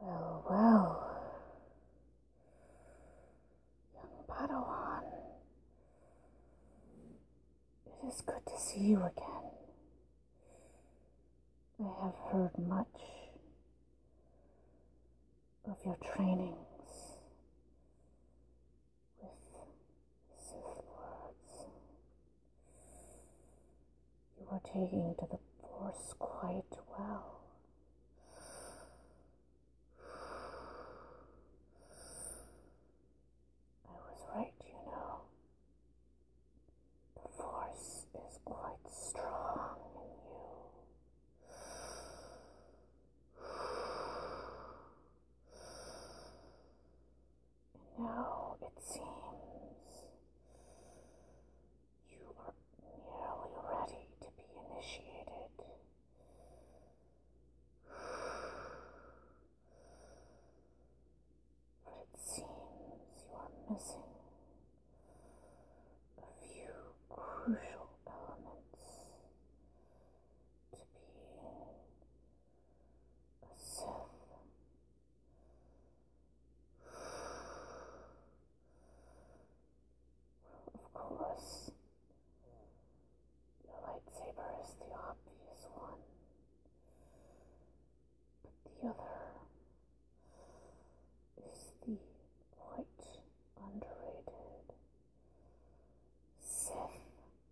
Well, well, young Padawan, it is good to see you again. I have heard much of your trainings with safe words. You are taking to the force quite well. I was right, you know. The force is quite strong in you. Now it seems you are nearly ready to be initiated. But it seems you are missing a few crucial elements to being a Sith. Well, of course, the lightsaber is the obvious one, but the other is the quite underrated Sith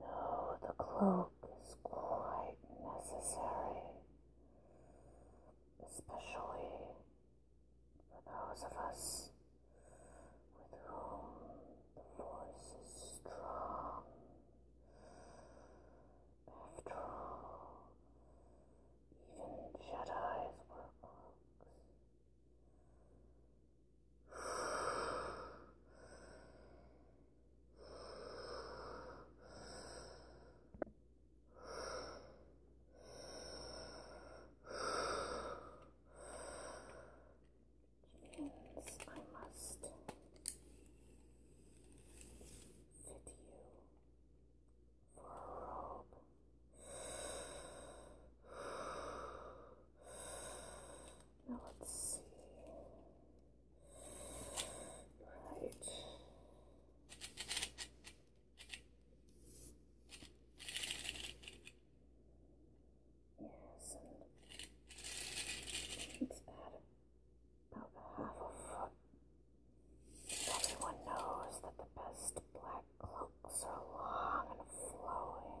No, the cloak is quite necessary, especially for those of us with whom the force is strong. After all, even Jedi's were monks. Yes, I must fit you for a robe. Now let's see. Right. Yes, and about half a foot. Everyone knows that the best black cloaks are long and flowing.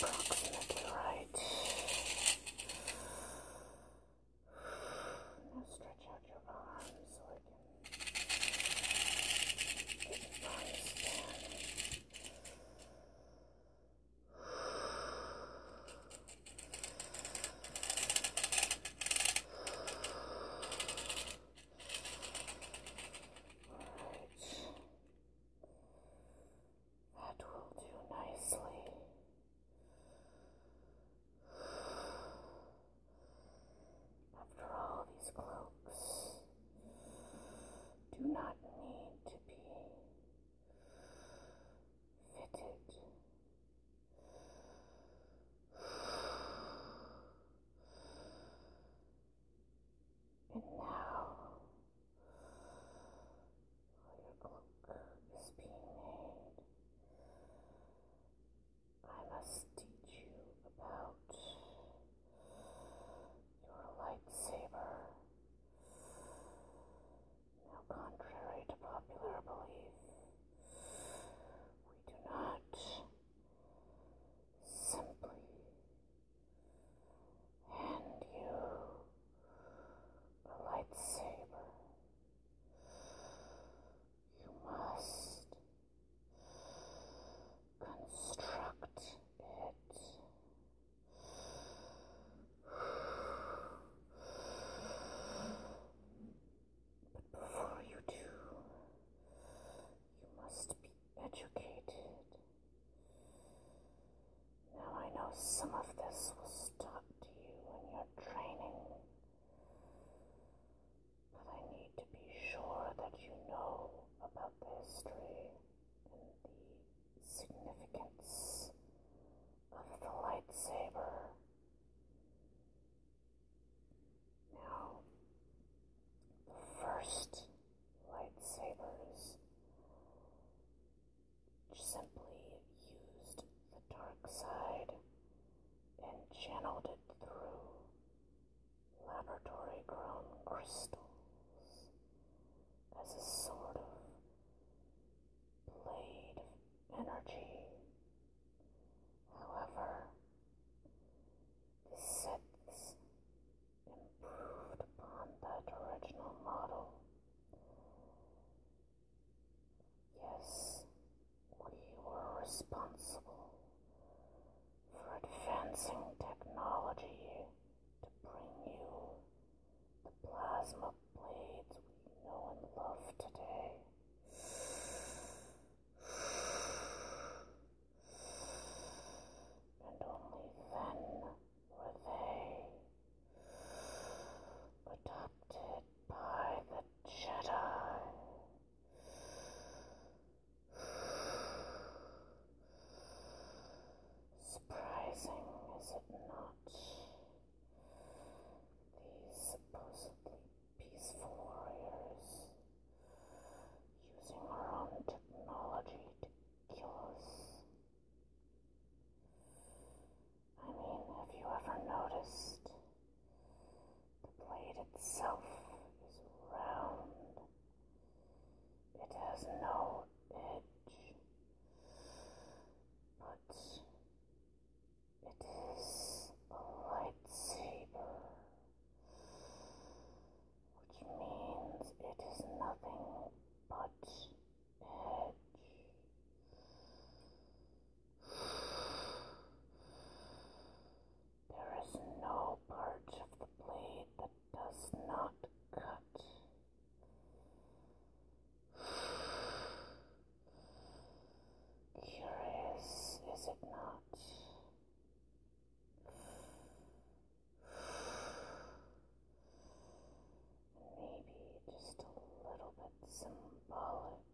approximately right. Now stretch out your arms so I can get your arms down. All right. That will do nicely. After all, these cloaks do not need to be fitted. And now, your cloak is being made. I must teach you about your lightsaber. Now, contrary to popular belief, we do not simply hand you a lightsaber. You must construct it. But before you do, you must be educated. Now I know some of this will taught to you in your training, but I need to be sure that you know about the history and the significance of the lightsaber. Now, first lightsabers simply used the dark side and channeled it through laboratory grown crystals as a sort of blade energy. However, the Siths improved upon that original model. Yes, we were responsible for advancing technology to bring you the plasma blades we know and love today. And only then were they adopted by the Jedi? Surprising, is it not? These supposedly peaceful warriors using our own technology to ridiculous. I mean, have you ever noticed the blade itself is round? It has no edge, but it is a lightsaber which means it is nothing but edge. There is no part of the blade that does not cut. Curious, is it not? Maybe just a little bit symbolic.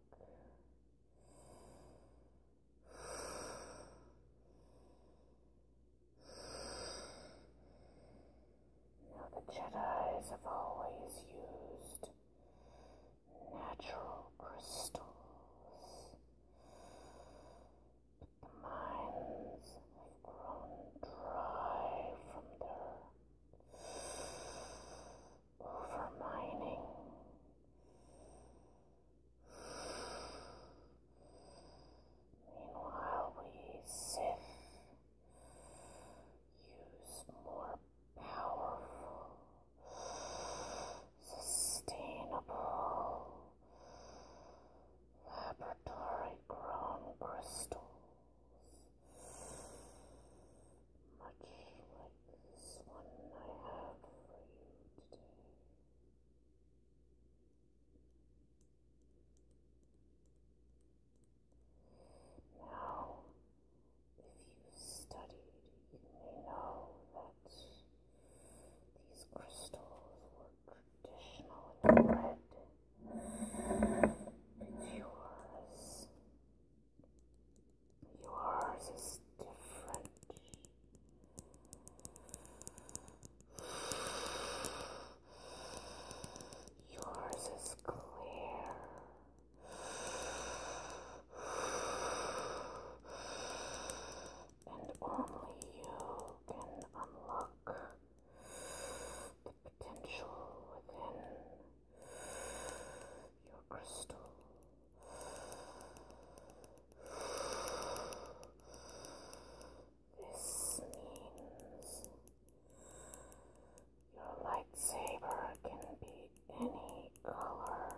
Now, the Jedi's have always used natural crystals. The mines have grown dry from their overmining. Meanwhile, we Sith use more powerful, sustainable laboratory grown crystals, much like this one I have for you today. Now, if you studied, you may know that these crystals work traditional bread but yours yours is different yours is clear and only you can unlock the potential within your crystal. This means your lightsaber can be any color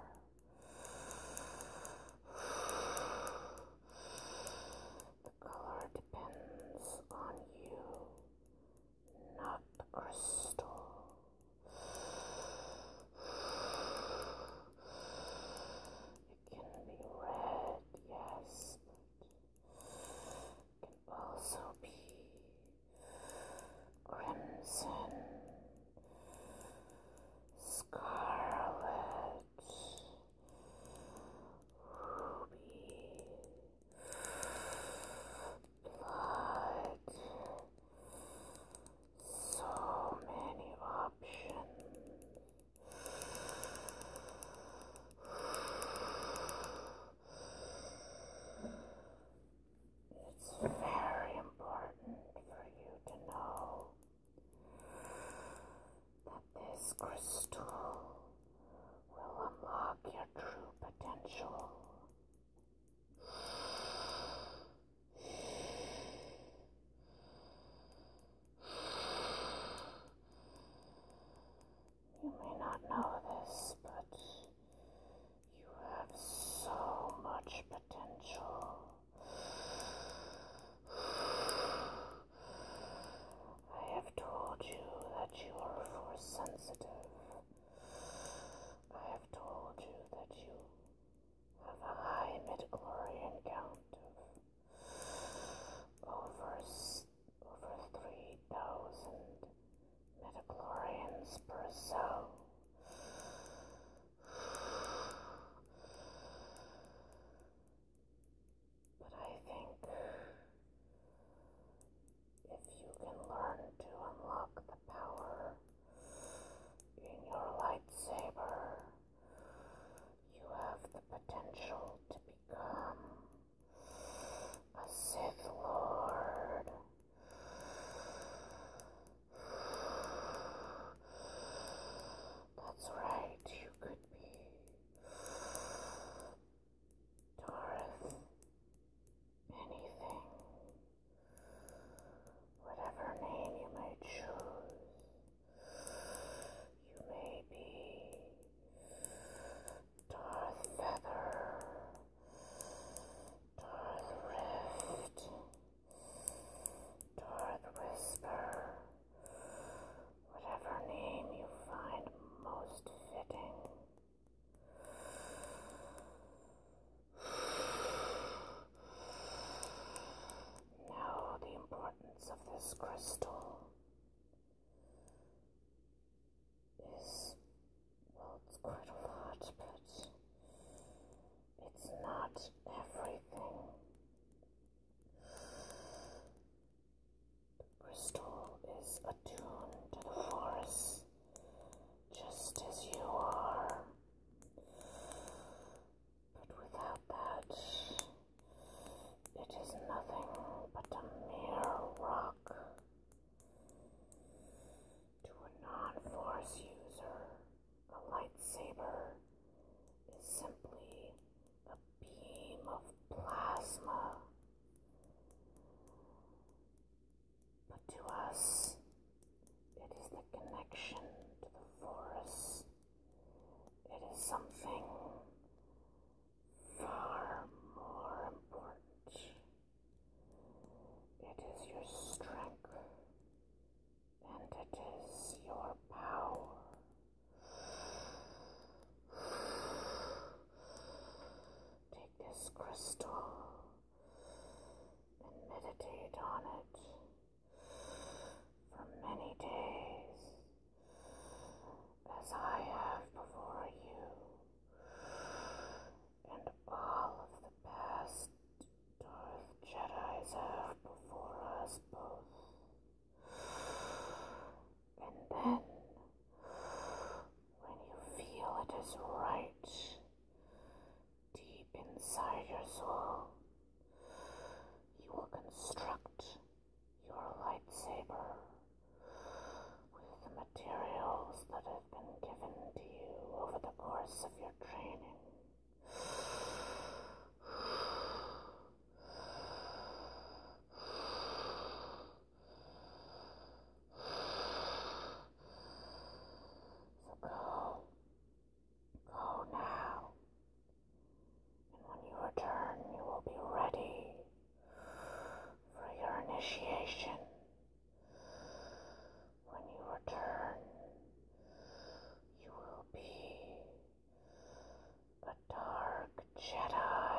the uh, color depends on you, not the crystal. It can be red, yes, but it can also be crimson, scarlet ruby like so many options it's very important for you to know that this crystal will unlock your true potential. You may not know this, but you have so much potential. I have told you that you are force sensitive. I have told you that you have a high midichlorian count of over, over 3,000 midichlorians per cell. But I think if you can learn to unlock the power in your lightsaber, you have the potential to become a Sith Lord. That's right, you could be Taurus, anything, whatever name you may choose, you may be Darth Feather, Darth Rift, Darth Whisper whatever name you find most fitting. Know the importance of this crystal. This, well, it's quite a lot, but it's not everything. The crystal is attuned to the force, just as you are. But without that, it is nothing but a mere rock. To a non-force user, a lightsaber is simply a beam of plasma. But to us, it is the connection to the forest. It is something far more important. It is your strength, and it is your power. Take this crystal and meditate on it for many days, as I have before you, and all of the past Darth Jedi's have before us both. And then, when you feel it is right, deep inside your soul, you will construct your lightsaber with the materials that have been given to you over the course of your training. So go. Go now. And when you return, you will be ready for your initiation. When you return, you will be the dark Jedi.